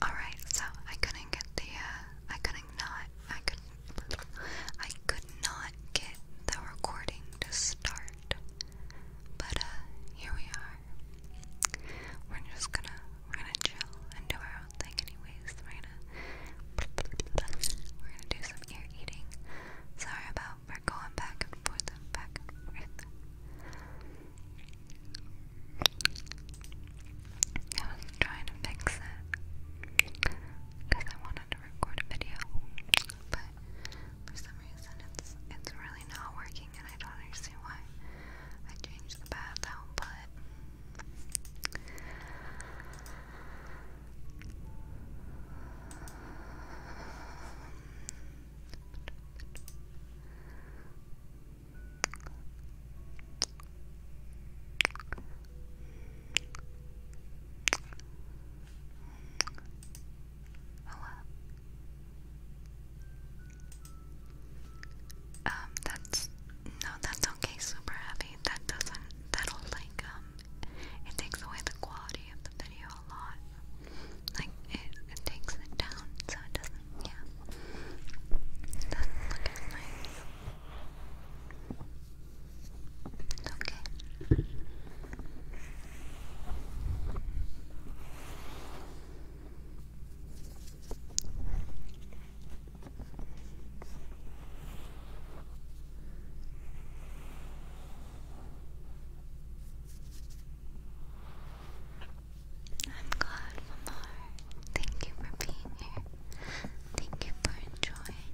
All right, so I couldn't get the uh, I couldn't not I could I could not get the recording to start. But uh, here we are. We're just gonna we're gonna chill and do our own thing anyways. We're gonna we're gonna do some ear eating. Sorry about we're going back and forth back and forth. I was trying to fix it because I want wanted to record a video, but for some reason it's it's really not working, and I don't understand why. I changed the path out, Oh well. Um, that's no, that's okay. Super heavy. That doesn't. That'll like um. It takes away the quality of the video a lot. Like it, takes it down, so it doesn't. Yeah. It look as nice. It's okay. I'm glad, Lamar. Thank you for being here. Thank you for enjoying.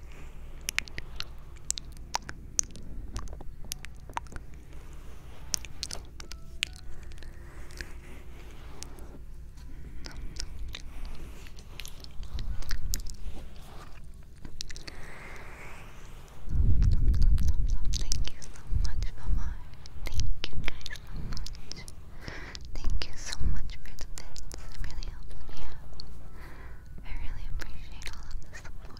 Thank you so much, Mama. Thank you so much. Thank you so much for the bits. really helps me out. I really appreciate all of the support.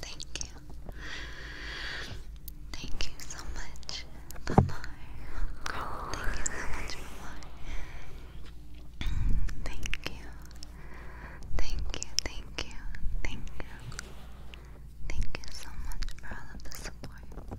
Thank you. Thank you so much, Mama. Thank you so much, Mama. Thank you. Thank you, thank you, thank you. Thank you so much for all of the support.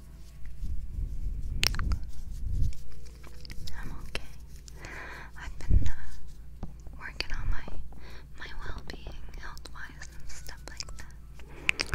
I'm okay. I've been uh, working on my my well-being, health-wise, and stuff like that.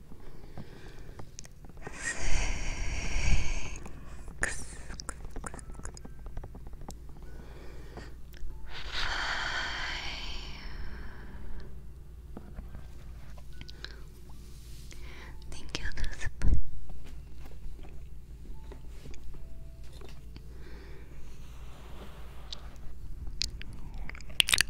six, five. Thank you, Elizabeth.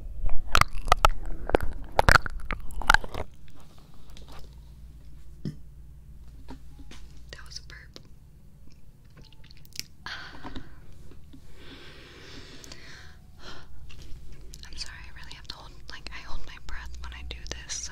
That was a burp. I'm sorry, I really have to hold, like, I hold my breath when I do this, so.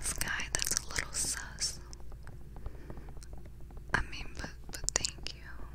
Sky, that's a little sus. I mean, but but thank you.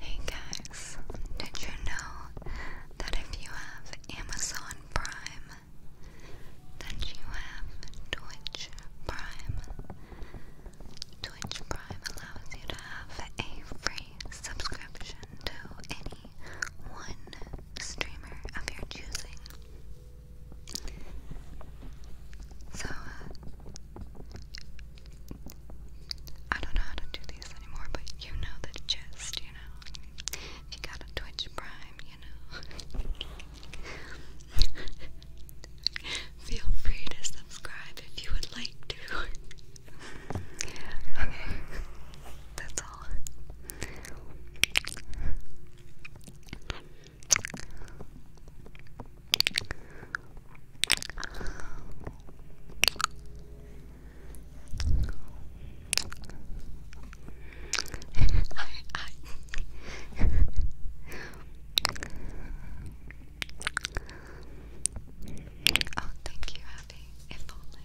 Hey guys, did you know that if you have Amazon Prime, that you have Twitch Prime? Twitch Prime allows you to have a free subscription to any one streamer of your choosing. So, uh, I don't know how to do these anymore, but you know the gist, you know. if you got a Twitch Prime, you know. Feel free to subscribe if you would like to. okay that's all. I, I Oh, thank you, Abby. If only.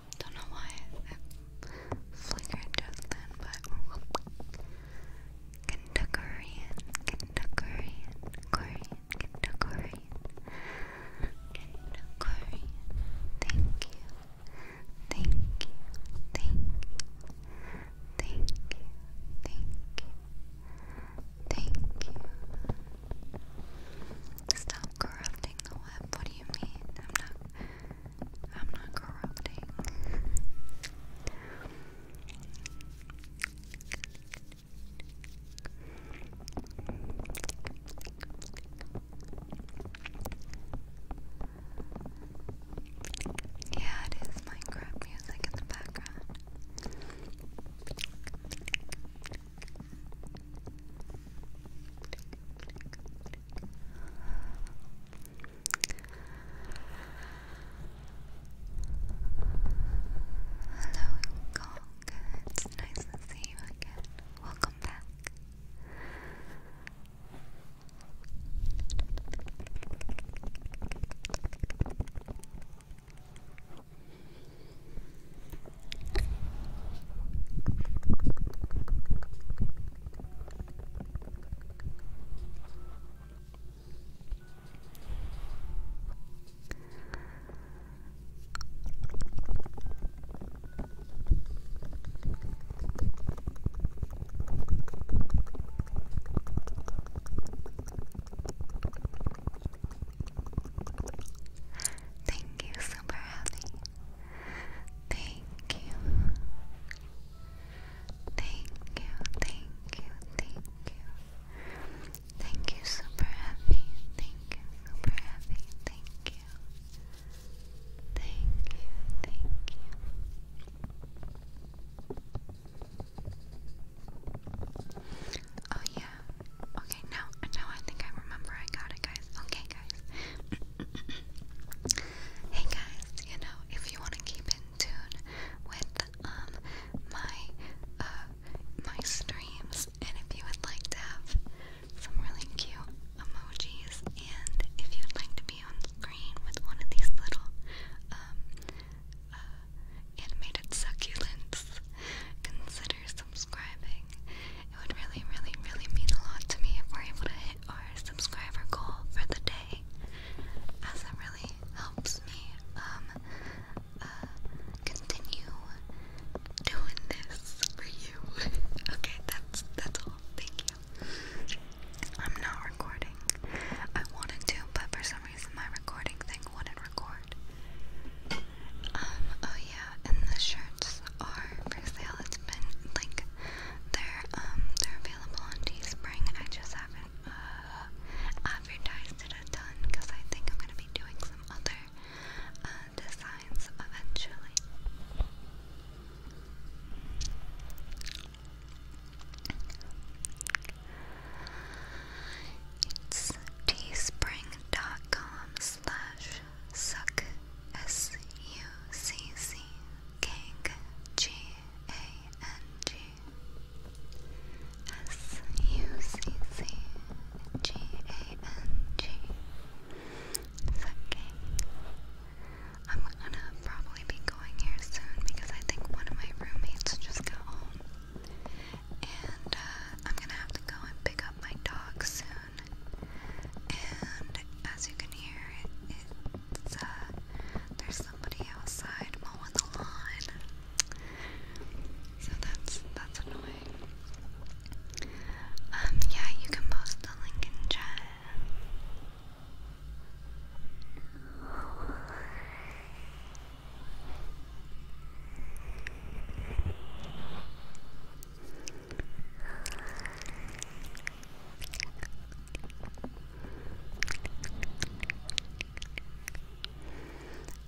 Don't know why it flickered just then, but Kentuckerian, Kentuckerian, Korean, Kentuckerian, Kentuckerian. Thank you, thank you, thank thank thank you, thank you. Stop corrupting the web. What do you mean? I'm not. I'm not corrupting. Yeah, it is Minecraft music in the background. Hello, Kong. It's nice to see you again. Welcome back. Thank you, super happy. Thank you. Thank you, thank you, thank you. Thank you, super happy. Thank you, super happy. Thank you. Thank you, thank you. Oh yeah. Okay, now now I think I remember I got it guys. Okay guys hey guys, you know, if you want to keep in tune with um my uh my streams and if you would like to have some really cute emojis and if you'd like to be on screen with one of these little um, uh, animated succulents, consider subscribing. It would really, really, really mean a lot to me if we're able to hit our subscriber goal for the day, as it really helps me um, uh, continue doing this for you. okay, that's that's all. Thank you. I'm not recording. I wanted to, but for some reason my recording thing wouldn't record. Um, oh yeah, and the shirts are for sale. It's been like they're um they're available on Teespring. I just haven't uh, advertised a ton because I think I'm gonna be doing some other uh, designs eventually. It's teespring.com slash Suck S U C C Gang I'm gonna probably be going here soon because I think one of my roommates just got home. And uh, I'm gonna have to go and pick up my dog soon and as you can hear, it's uh, there's somebody outside mowing the lawn, so that's that's annoying. Um, yeah, you can post the link in chat.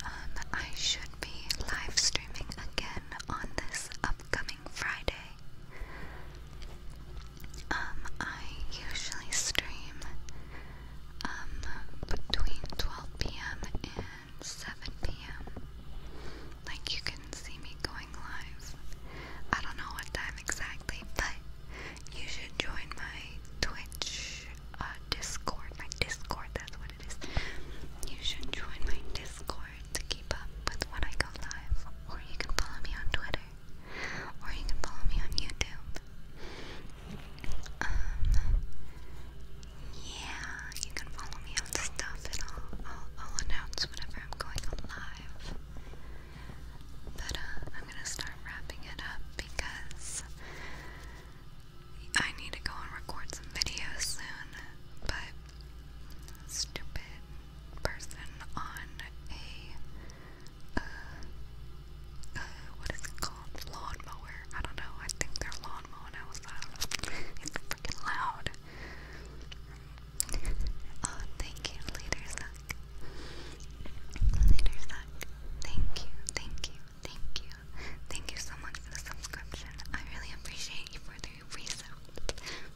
Um, I should be live streaming again on this upcoming Friday. Um, I usually stream um between 12 p.m. and 7 p.m. Like you can see me going live. I don't know what time exactly, but you should join my Twitch uh, Discord. My Discord, that's what it is. You should join my Discord to keep up with when I go live. Or you can follow me on Twitter. Or you can follow me on YouTube. Um, yeah, you can follow me on stuff and I'll, I'll, announce whenever I'm going live. But uh, I'm gonna start wrapping it up because I need to go and record some videos soon. But stupid person on a uh, uh what is it called? Lawnmower. I don't know. I think they're lawnmowing outside. It's freaking loud oh, thank you, Leader Suck. Leader Suck, thank you, thank you, thank you. Thank you so much for the subscription. I really appreciate you for the resub,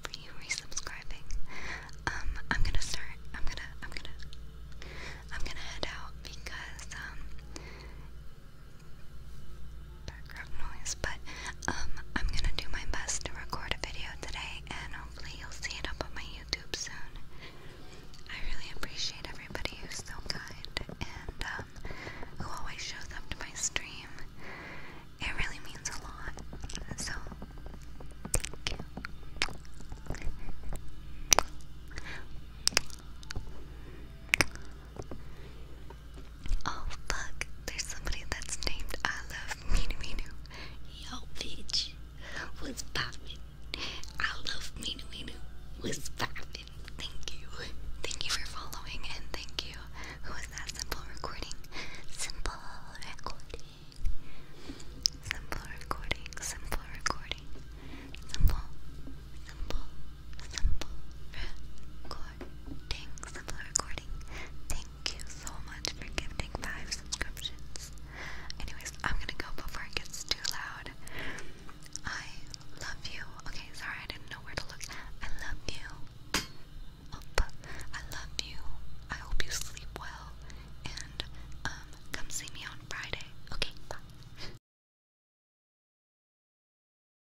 for you resubscribing. Um, I'm gonna start. I'm gonna. I'm gonna. I'm gonna head out because um, background noise, but um, I'm gonna do my best to record a video today, and hopefully you'll see it up on my YouTube soon. I really appreciate everybody who's so kind and um, who always shows up to my stream. It really means a lot. So, thank you. Oh fuck, there's somebody that's named I love Minu Minu. Yo bitch, what's poppin'? I love me Minu Minu, what's poppin'? Thank you. Thank you for following and thank you. Who is that simple recording? Simple recording. Simple recording, simple recording. Simple, simple, simple recording, simple recording. Thank you so much for gifting five subscriptions. Anyways, I'm gonna go before it gets too loud. I love you. Okay, sorry, I didn't know where to look. I love you. I love you. I hope you sleep well. And um, come see me on Friday. Okay,